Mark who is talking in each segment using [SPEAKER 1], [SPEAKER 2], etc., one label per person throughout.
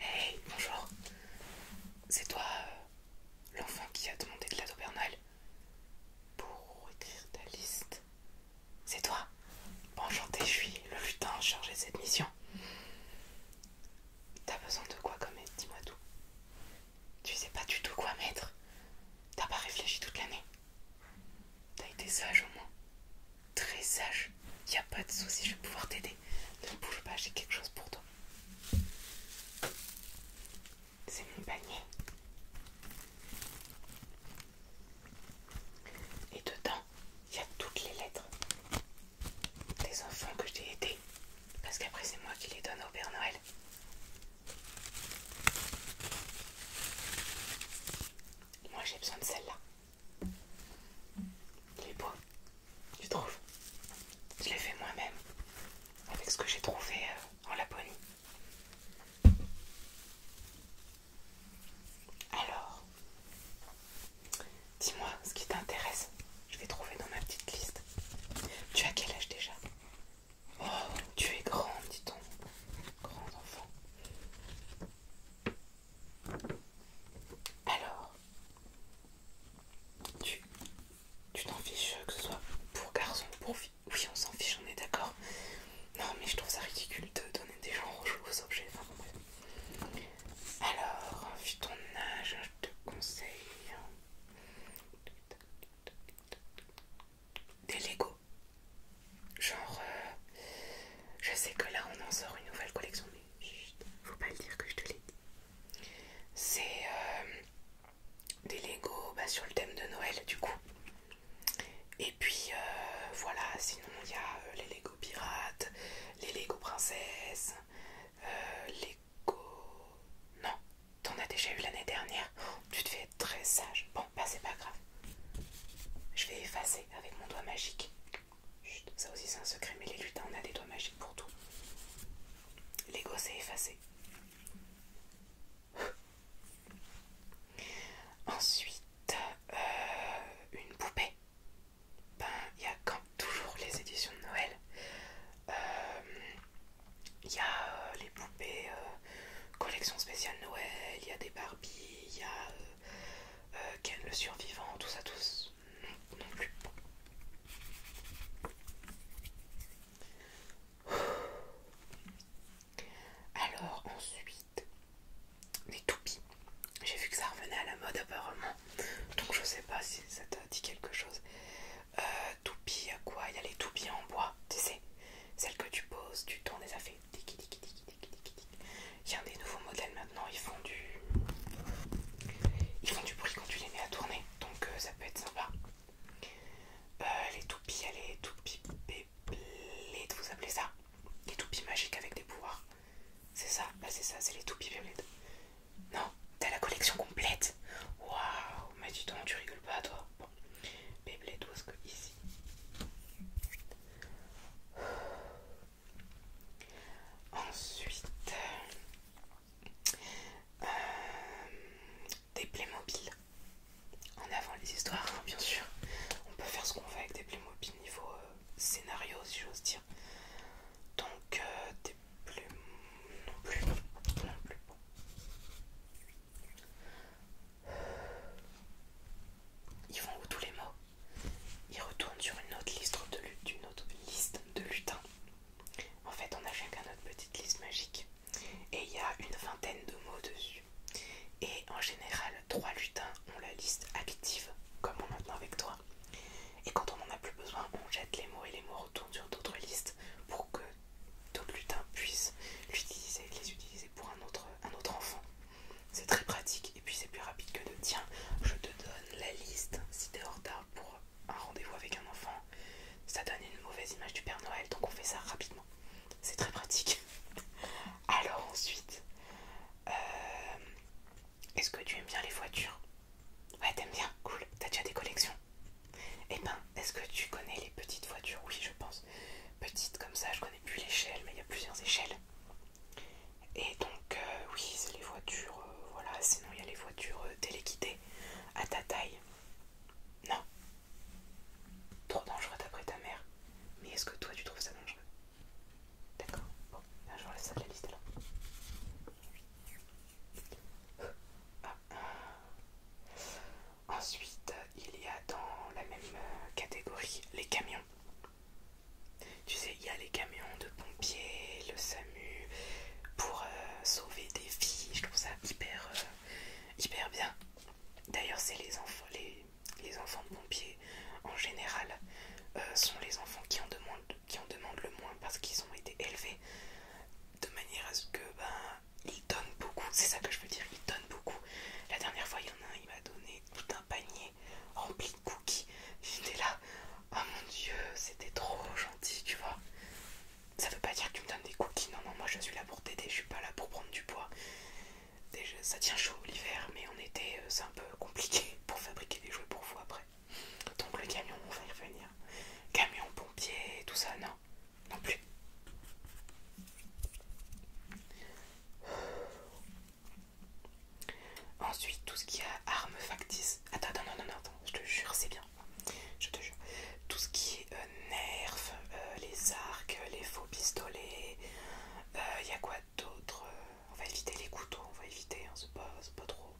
[SPEAKER 1] Hey, bonjour. C'est toi, euh, l'enfant qui a demandé de la pour écrire ta liste. C'est toi. Bonjour, je suis le lutin chargé de cette mission. T'as besoin de quoi comme Dis-moi tout. Tu sais pas du tout quoi mettre. T'as pas réfléchi toute l'année. T'as été sage au moins. Très sage. Y a pas de souci, je vais pouvoir t'aider. Ne bouge pas, j'ai quelque chose pour toi. C'est mon panier. Et dedans, il y a toutes les lettres des enfants que je t'ai aidés. Parce qu'après, c'est moi qui les donne au Père Noël. Moi, j'ai besoin de celle-là. Les est tu trouves Je l'ai fait moi-même avec ce que j'ai trouvé euh, en Laponie. Alors, dis-moi ce qui t'intéresse. Je vais trouver dans ma petite liste. Tu as quel âge déjà Oh, tu es grand, dit-on. grand enfant. Alors, tu t'en fiches que ce soit pour garçon pour fille Oui, on s'en fiche, on est d'accord. Non, mais je trouve ça ridicule de donner des gens aux objets. Alors, vu ton âge, je te conseille des Lego. Genre, euh, je sais que là on en sort une nouvelle collection, mais faut pas le dire que je te l'ai dit. C'est euh, des Lego bah, sur le thème de Noël, du coup. Et puis euh, voilà, sinon il y a les Lego pirates, les Lego princesses, les Lego. Non, t'en as déjà eu l'année dernière tu te fais très sage. Bon, bah c'est pas grave. Je vais effacer avec mon doigt magique. Chut, ça aussi c'est un secret, mais les lutins, on a des doigts magiques pour tout. L'ego c'est effacé. Ensuite, euh, une poupée. Ben, il y a quand toujours les éditions de Noël. Euh, il y a euh, les poupées. Euh, collection spéciale Noël, il y a des Barbies, il y a euh, euh, Ken le survivant, tout ça, tous non, non plus. Alors ensuite, les toupies. J'ai vu que ça revenait à la mode apparemment, donc je sais pas si ça t'a dit quelque chose. Euh, à quoi Il y a les toupies en bois, tu sais, celles que tu poses, tu tournes des affaires il y a des nouveaux modèles maintenant, ils font du ils font du bruit quand tu les mets à tourner, donc euh, ça peut être sympa. Euh, les toupies, les toupies vous appelez ça Les toupies magiques avec des pouvoirs. C'est ça, ah, c'est ça, c'est les toupies Beyblade. Non, t'as la collection complète. Waouh, mais dis donc, tu rigoles pas toi des Beyblade, ce que ici Ensuite, euh, des des mobiles, En avant les histoires, hein, bien sûr. On peut faire ce qu'on veut avec des mobiles niveau euh, scénario, si j'ose dire. Donc, euh, des non plus. Non plus. Ils vont où tous les mots Ils retournent sur une autre liste de, lutins. En fait, on a chacun notre petite liste magique. Et il y a une vingtaine de mots dessus. Et en général, trois lutins ont la liste active, comme on maintenant avec toi. Et quand on n'en a plus besoin, on jette les mots et les mots retournent sur d'autres listes pour que d'autres lutins puissent l'utiliser, les utiliser pour un autre, enfant. C'est très pratique et puis c'est plus rapide que de tiens, je te donne la liste si t'es en retard pour un rendez-vous avec un enfant. Ça donne une mauvaise image du Père Noël, donc on fait ça rapidement. C'est très pratique. Alors ensuite, euh, est-ce que tu aimes bien les voitures Ouais, t'aimes bien, cool. T'as déjà des collections eh ben, est-ce que tu connais les petites voitures Oui, je pense. Petites comme ça, je connais plus l'échelle, mais il y a plusieurs échelles. Et donc, euh, oui, c'est les voitures, euh, voilà, sinon il y a les voitures euh, téléquitées à ta taille. Non. Trop dangereux d'après ta mère. Mais est-ce que toi tu trouves ça dangereux D'accord. Bon, je vais ça de la liste là. Ensuite, il y a dans la même euh, catégorie les camions. Tu sais, il y a les camions de pompiers, le SAMU, pour euh, sauver des vies. Je trouve ça hyper, euh, hyper bien. D'ailleurs, c'est les enfants, les, enfants de pompiers en général sont les enfants qui en demandent, qui en demandent le moins parce qu'ils ont été élevés de manière à ce que ben, il donne beaucoup, c'est ça que je veux dire, il donne beaucoup. La dernière fois, il y en a un, il m'a donné tout un panier rempli de cookies. J'étais là, oh mon dieu, c'était trop gentil, tu vois. Ça veut pas dire que tu me donnes des cookies, non, non, moi je suis là pour t'aider, je suis pas là pour prendre du poids. Déjà, ça tient chaud l'hiver, mais en été, euh, c'est un peu compliqué pour fabriquer des jouets pour vous après. Donc le camion, on va y revenir. Camion, pompier, tout ça, non non plus. Ensuite, tout ce qui a armes factices. Attends, non, non, non, attends, je te jure, c'est bien. Je te jure. Tout ce qui est euh, nerf euh, les arcs, les faux pistolets. Il euh, y a quoi d'autre On va éviter les couteaux, on va éviter, hein, c'est pas trop.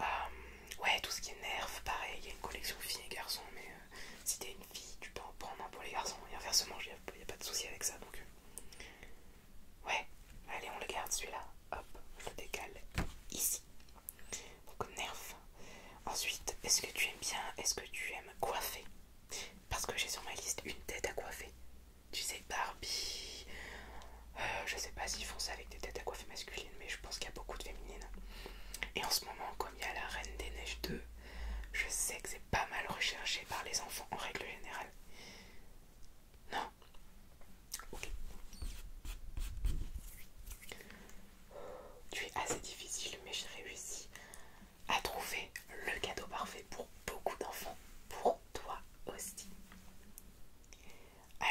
[SPEAKER 1] Euh, ouais, tout ce qui est nerf, pareil, il y a une collection filles et garçons, mais euh, si t'es une fille, tu peux en prendre un pour les garçons, et inversement, il n'y a, pas de souci avec ça, donc... Euh, ouais, allez, on le garde, celui-là, hop, je décale ici. Donc, nerf. Ensuite, est-ce que tu aimes bien, est-ce que tu aimes coiffer Parce que j'ai sur ma liste une tête à coiffer. Tu sais, Barbie... je sais pas s'ils font ça avec des têtes à coiffer masculine, mais je pense qu'il y a beaucoup de féminines. Et en ce moment, comme il y a la Reine des Neiges 2, je sais que c'est pas mal recherché par les enfants en règle générale. Non Ok. Tu es assez difficile, mais j'ai réussi à trouver le cadeau parfait pour beaucoup d'enfants, pour toi aussi.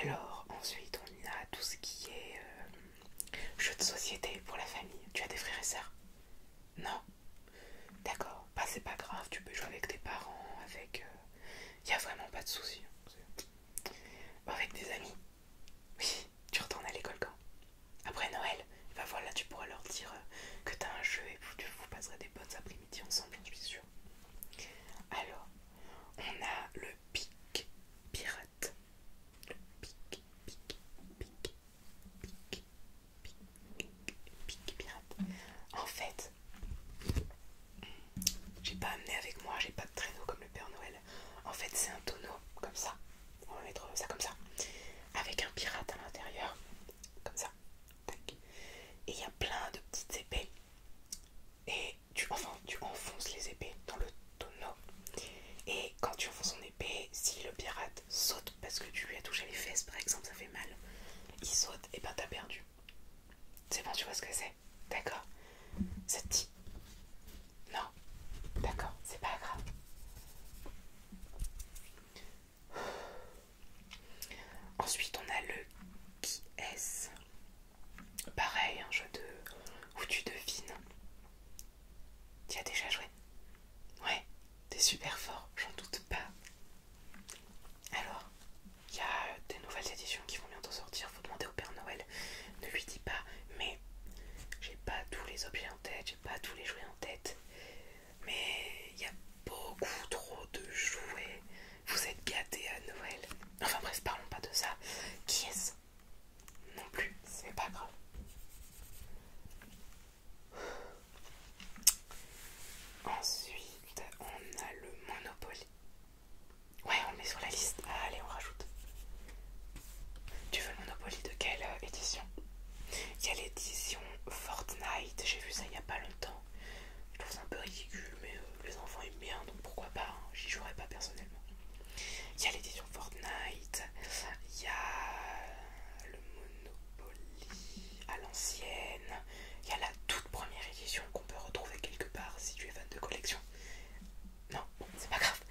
[SPEAKER 1] Alors ensuite on y a tout ce qui est euh, jeu de société pour la famille. Tu as des frères et sœurs Non D'accord, Pas bah, c'est pas grave, tu peux jouer avec tes parents, avec... Il euh, a vraiment pas de souci. Hein. Avec des amis Oui, tu retournes à l'école quand Après Noël eh ben voir tu pourras leur dire euh, que t'as un jeu et que vous passerez des bonnes après-midi ensemble, je suis sûre. Alors, on a le pic pirate. Le pic, pic, pic, pic, pic, pic pirate. En fait, j'ai pas amené avec moi, j'ai pas de traîneau comme le Père Noël. En fait, c'est un tonneau comme ça. On va mettre ça comme ça, avec un pirate à l'intérieur, comme ça. Et il y a plein de petites épées. Et tu, enfin, tu enfonces les épées dans le tonneau. Et quand tu enfonces son épée, si le pirate saute parce que tu lui as touché les fesses par exemple, ça fait mal, il saute et ben t'as perdu. C'est bon, tu vois ce que c'est D'accord Ça Non D'accord, c'est pas grave. Ensuite, on a le qui est Pareil, un jeu de... où tu devines. Tu as déjà joué Ouais, t'es super fort, j'en doute pas. Alors, il y a des nouvelles éditions qui vont bientôt sortir, faut demander au Père Noël. Ne lui dis pas, mais j'ai pas tous les objets en tête, j'ai pas tous les jouets en tête. Mais il y a beaucoup trop de jouets vous êtes gâtés à Noël. Enfin bref, parlons pas de ça. Qui est-ce Non plus, c'est pas grave. Ensuite, on a le Monopoly. Ouais, on le met sur la liste. Ah, allez, on rajoute. Tu veux le Monopoly de quelle euh, édition Il y a l'édition Fortnite, j'ai vu ça il n'y a pas longtemps. Je trouve ça un peu ridicule, mais euh, les enfants aiment bien, donc pourquoi pas, hein, j'y jouerai pas personnellement. Il y a l'édition Fortnite, il y a le Monopoly à l'ancienne, il y a la toute première édition qu'on peut retrouver quelque part si tu es fan de collection. Non, c'est pas grave.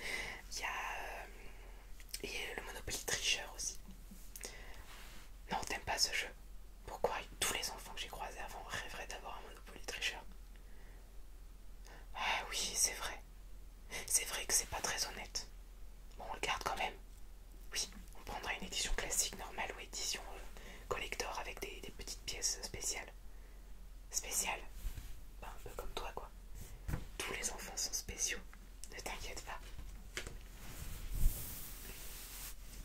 [SPEAKER 1] Il y a euh, le Monopoly tricheur aussi. Non, t'aimes pas ce jeu pourquoi tous les enfants que j'ai croisés avant rêveraient d'avoir un Monopoly tricheur Ah oui, c'est vrai. C'est vrai que c'est pas très honnête. Bon, on le garde quand même. Oui, on prendra une édition classique normale ou édition euh, collector avec des, petites pièces spéciales. Spéciales ben, Un peu comme toi, quoi. Tous les enfants sont spéciaux. Ne t'inquiète pas.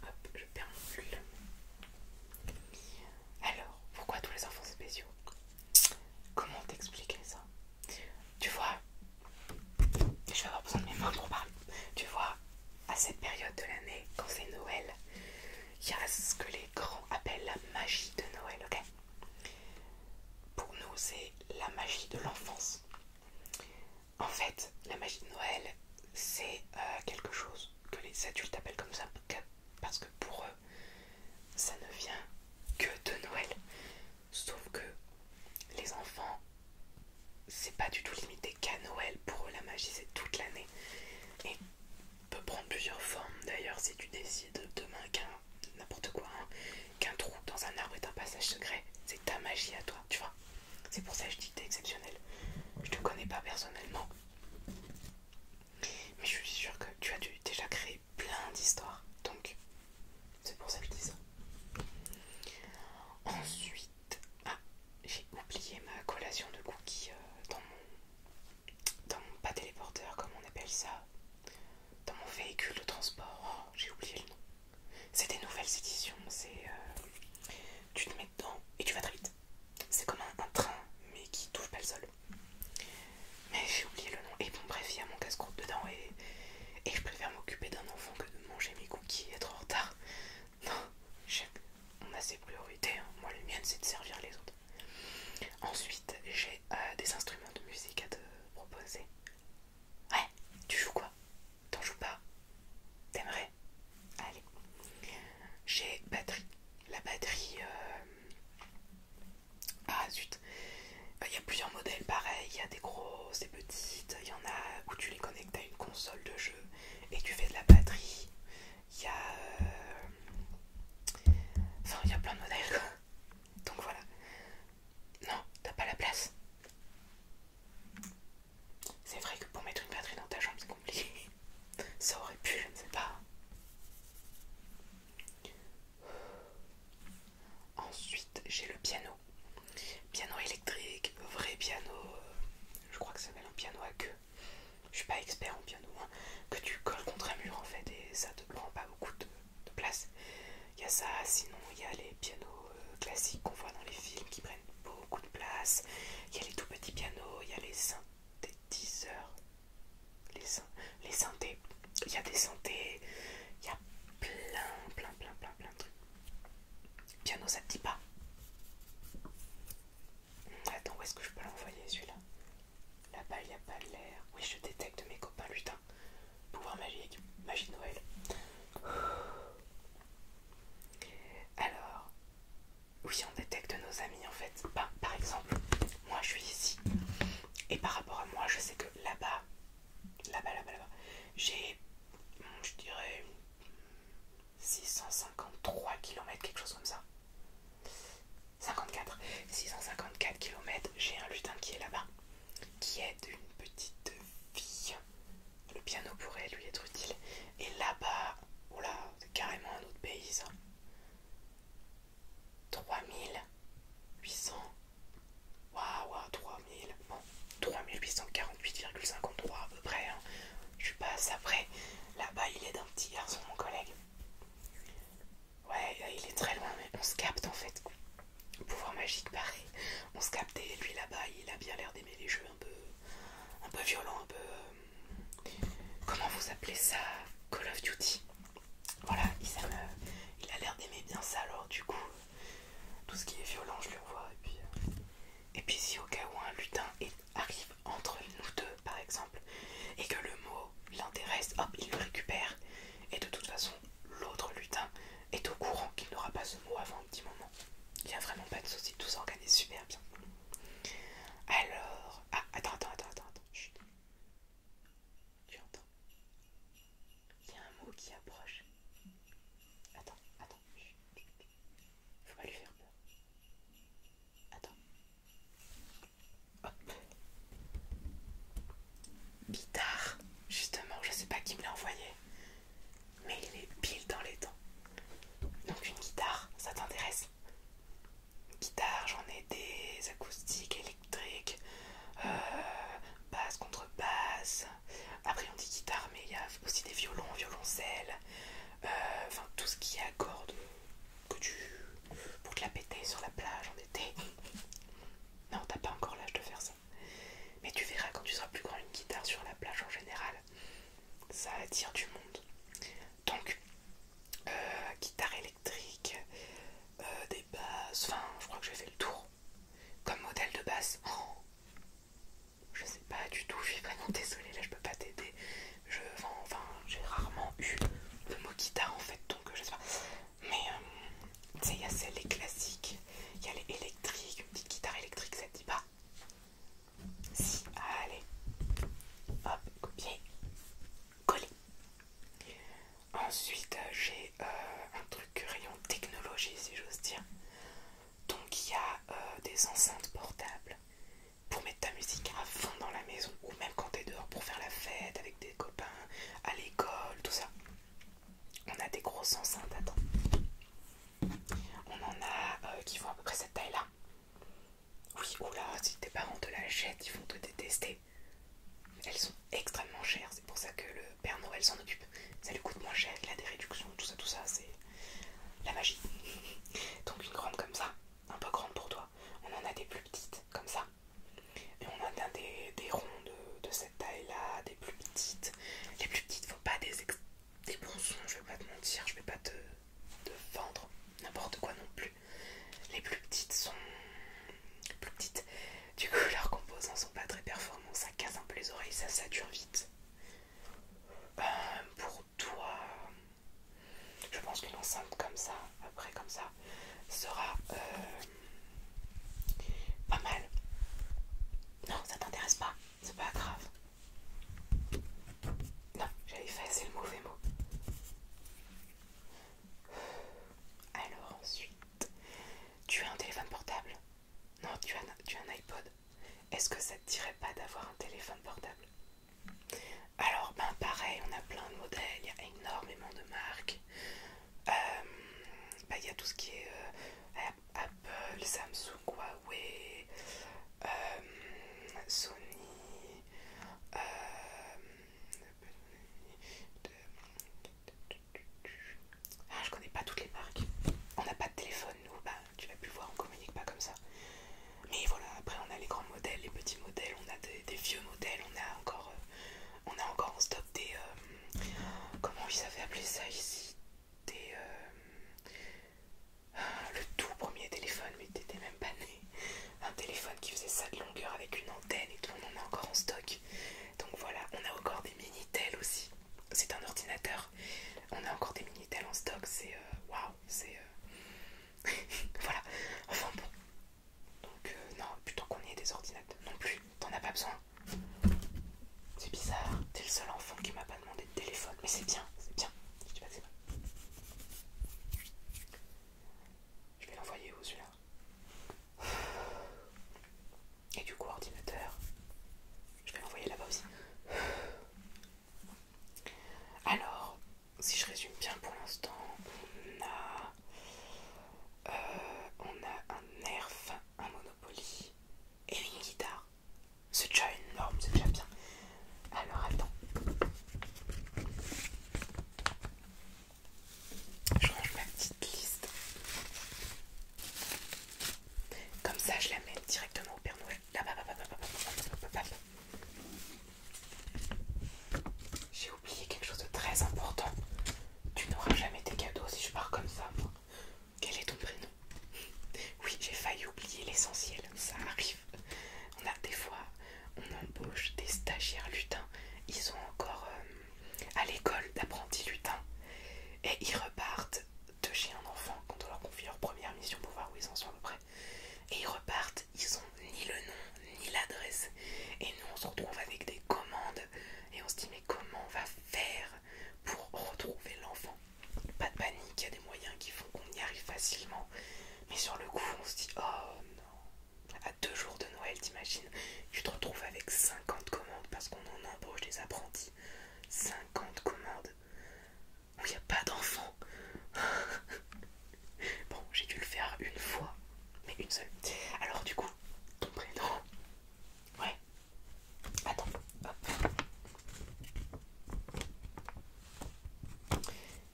[SPEAKER 1] Hop, je perds mon pull. Alors, pourquoi tous les enfants spéciaux Comment t'expliquer ça Tu vois, je vais avoir besoin de mes mains pour parler. Tu vois, à cette période de l'année, quand c'est Noël, il y a ce que les grands appellent la magie de Noël, ok Pour nous, c'est la magie de l'enfance. En fait, la magie de Noël, c'est euh, quelque chose que les adultes appellent comme ça parce que pour eux ça ne vient que de Noël. Sauf que les enfants, c'est pas du tout limité qu'à Noël. Pour eux, la magie c'est toute l'année et peut prendre plusieurs formes. D'ailleurs, si tu décides demain qu'un n'importe quoi, hein, qu'un trou dans un arbre est un passage secret, c'est ta magie à toi, tu vois. C'est pour ça que je dis que t'es exceptionnel. Je te connais pas personnellement. Mais je suis sûre que tu as déjà créé plein d'histoires. Donc, c'est pour ça que je dis ça. Ensuite, ah, j'ai oublié ma collation de cookies euh, dans mon. pas téléporteur, comme on appelle ça. Dans mon véhicule de transport. Oh, j'ai oublié le nom. C'est des nouvelles éditions, c'est. Euh, tu te mets dedans et tu vas très vite. C'est comme un, train, mais qui touche pas le sol. Mais j'ai oublié le nom. Et bon, bref, il y a mon casse-croûte dedans et, je préfère m'occuper d'un enfant que de manger mes cookies et être en retard. Non, on a ses priorités. Hein. Moi, le mien, c'est de servir les autres. Ensuite, j'ai euh, des instruments de musique à te proposer. Ouais, tu joues quoi T'en joues pas T'aimerais Allez. J'ai batterie. La batterie. Euh, ah zut. Il y a plusieurs modèles pareil. Il y a des grosses, des petites. Il y en a où tu les connectes à une console de jeu et tu fais de la batterie. Il y a. Euh, enfin, il y a plein de modèles. Donc voilà. Non, t'as pas la place. C'est vrai que pour mettre une batterie dans ta jambe, c'est compliqué. Ça aurait pu, je ne sais pas. Ensuite, j'ai le piano. Piano électrique, vrai piano. Euh, je crois que ça s'appelle un piano à queue. Je suis pas expert en piano. Hein. Que tu colles contre un mur en fait et ça te prend pas beaucoup de, place. Il y a ça, sinon il y a les pianos euh, classiques qu'on voit dans les films qui prennent beaucoup de place. Il y a les tout petits pianos, il y a les synthétiseurs, les, les synthés, il y a des synthés, il y a plein, plein, plein, plein, plein de trucs. Piano, ça te dit pas Attends, où est-ce que je peux l'envoyer celui-là Là-bas, il n'y a pas l'air. Oui, je détecte mes copains lutins. Pouvoir magique, magie de Noël. Alors, oui, on détecte nos amis en fait. Bah, par exemple, moi je suis ici. Et par rapport à moi, je sais que là-bas, là-bas, là-bas, là-bas, j'ai, hmm, je dirais, 653 km, quelque chose comme ça. 54. 654 km, j'ai un lutin qui est là-bas, qui est d'une petite fille le piano pourrait lui être utile. Et là-bas, voilà, carrément un autre pays ça. 3800. Waouh, 3000. Bon, 3848,53 à peu près. Hein. Je suis pas Là-bas, il est d'un petit garçon, mon collègue. Ouais, euh, il est très loin, mais on se capte en fait. Pouvoir magique, pareil. On se capte et lui là-bas, il a bien l'air d'aimer les jeux un peu, violent, un peu... Euh, comment vous appelez ça Call of Duty. Voilà, il, euh, il a l'air d'aimer bien ça, alors du coup, euh, tout ce qui est violent, je le vois. Et puis, si au cas où un lutin arrive entre nous deux, par exemple, et que le mot l'intéresse, hop, il le récupère. Et de toute façon, l'autre lutin est au courant qu'il n'aura pas ce mot avant un petit moment. Il n'y a vraiment pas de souci, tout s'organise super bien. Alors, ah, attends, attends, attends, attends, chut. Tu entends Il y a un mot qui approche. Attends, attends, Faut pas lui faire peur. Attends. Hop. Bitard, justement, je ne sais pas qui me l'a envoyé mais il est pile dans les temps. Donc une guitare, ça t'intéresse Guitare, j'en ai des acoustiques, électriques, euh, basse, contrebasse. Après on dit guitare, mais il y a aussi des violons, violoncelles, euh, enfin tout ce qui est que tu pour te la péter sur la plage en été. Non, t'as pas encore l'âge de faire ça. Mais tu verras quand tu seras plus grand une guitare sur la plage en général. Ça attire du monde. Donc, euh, guitare électrique, euh, des basses, enfin je crois que j'ai fait le tour. Comme modèle de basse, oh, je sais pas du tout, je suis vraiment désolée, là je peux pas t'aider. Je enfin j'ai rarement eu le mot guitare en fait, donc je sais pas. Mais euh, tu il y a les classiques, il y a les électriques, une petite guitare électrique, ça te dit pas Si, allez, hop, copier, coller. Ensuite, euh, j'ai euh, un truc rayon technologie, si j'ose dire. Donc, il y a euh, des enceintes portables pour mettre ta musique à fond dans la maison ou même quand t'es dehors pour faire la fête avec des copains à l'école, tout ça on a des grosses enceintes, attends. On en a euh, qui font à peu près cette taille-là. Oui, oula, si tes parents te la jettent, ils vont te détester. Elles sont extrêmement chères, c'est pour ça que le Père Noël s'en occupe. Ça lui coûte moins cher, il a des réductions, tout ça, tout ça, c'est la magie. Donc une grande comme ça, un peu grande pour toi. On en a des plus petites, comme ça. Et on en a des, ronds de, cette taille-là, des plus petites. Les plus petites, faut pas des, je vais pas te mentir, je vais pas te, vendre n'importe quoi non plus. Les plus petites sont plus petites, du coup leurs composants sont pas très performants, ça casse un peu les oreilles, ça sature vite. Euh, pour toi, je pense qu'une enceinte comme ça, après comme ça, sera euh, pas mal. Non, ça t'intéresse pas, c'est pas grave. Non, j'avais fait assez le mauvais mot. Alors ensuite, tu as un téléphone portable Non, tu as, un iPod. Est-ce que ça te dirait pas d'avoir un téléphone portable Alors, ben pareil, on a plein de modèles, il y a énormément de marques. Euh, bah, il y a tout ce qui est euh, Apple, Samsung, Huawei, euh, Sony, ah, je connais pas toutes les marques. On n'a pas de téléphone, nous. Bah, tu vas pu voir, on communique pas comme ça. Mais voilà, après on a les grands modèles, les petits modèles, on a des, vieux modèles, on a encore on a encore en stock des euh, comment ils avaient appelé ça ici des euh, le tout premier téléphone mais t'étais même pas né un téléphone qui faisait ça de longueur avec une antenne et tout on en a encore en stock donc voilà on a encore des mini minitel aussi c'est un ordinateur on a encore des mini minitel en stock c'est euh, waouh c'est voilà enfin bon donc euh, non, plutôt qu'on ait des ordinateurs non plus, t'en as pas besoin. C'est bizarre, t'es le seul enfant qui m'a pas demandé de téléphone, mais c'est bien, c'est bien. Je Je vais l'envoyer où celui-là Et du coup, ordinateur, je vais l'envoyer là-bas aussi. Alors, si je résume bien pour l'instant, on a euh, on a un nerf, un monopoly et une guitare. C'est déjà énorme, c'est déjà bien. Alors attends. Je range ma petite liste. Comme ça, je la mets directement au Père Noël. J'ai oublié quelque chose de très important. Tu n'auras jamais tes cadeaux si je pars comme ça. Quel est ton prénom Oui, j'ai failli oublier l'essentiel. Ça arrive. On a des fois, on embauche des stagiaires lutins. Ils sont encore euh, à l'école d'apprentis lutins. Et ils repartent de chez un enfant quand on leur confie leur première mission pour voir où ils en sont à près. Et ils repartent, ils ont ni le nom, ni l'adresse. Et nous on se retrouve avec des commandes et on se dit mais comment on va faire pour retrouver l'enfant Pas de panique, il y a des moyens qui font qu'on y arrive facilement. Mais sur le coup, on se dit oh non. À deux jours de Noël, t'imagines, tu te retrouves avec 50 commandes parce qu'on en embauche des apprentis. 50 commandes où il n'y a pas d'enfant. bon, j'ai dû le faire une fois mais une seule. Alors du coup, ton prénom. Ouais. Attends. Hop.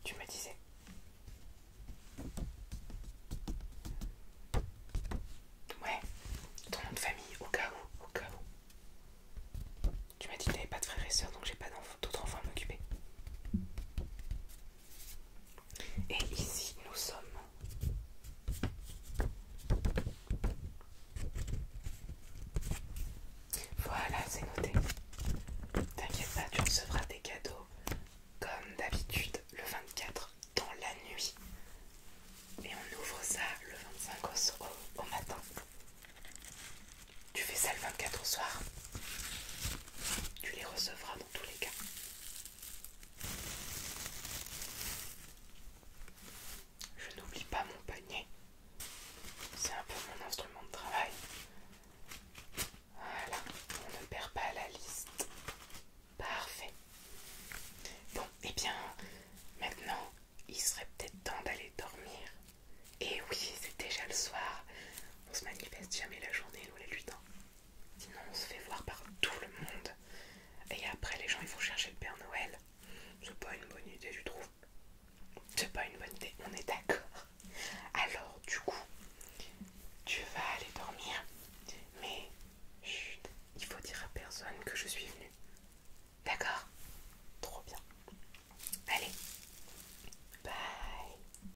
[SPEAKER 1] Tu me disais. Ouais. Ton nom de famille, au cas où, au cas où. Tu m'as dit que t'avais pas de frère et soeur donc j'ai pas d'autres enfants à m'occuper. Et ici, nous sommes voilà, c'est noté. T'inquiète pas, tu recevras des cadeaux comme d'habitude le 24 dans la nuit. Et on ouvre ça le 25 au, matin. Tu fais ça le 24 au soir. Tu les recevras tous les cas. Je n'oublie pas mon panier. C'est un peu mon instrument de travail. Voilà, on ne perd pas la liste. Parfait. Bon, et eh bien, maintenant, il serait peut-être temps d'aller dormir. Et oui, c'est déjà le soir. On se manifeste jamais la journée, nous du temps. Sinon on se fait voir par tout le monde. Et après les gens ils vont chercher le Père Noël. C'est pas une bonne idée je trouve. C'est pas une bonne idée, on est d'accord. Alors du coup, tu vas aller dormir. Mais chut, il faut dire à personne que je suis venue. D'accord Trop bien. Allez. Bye.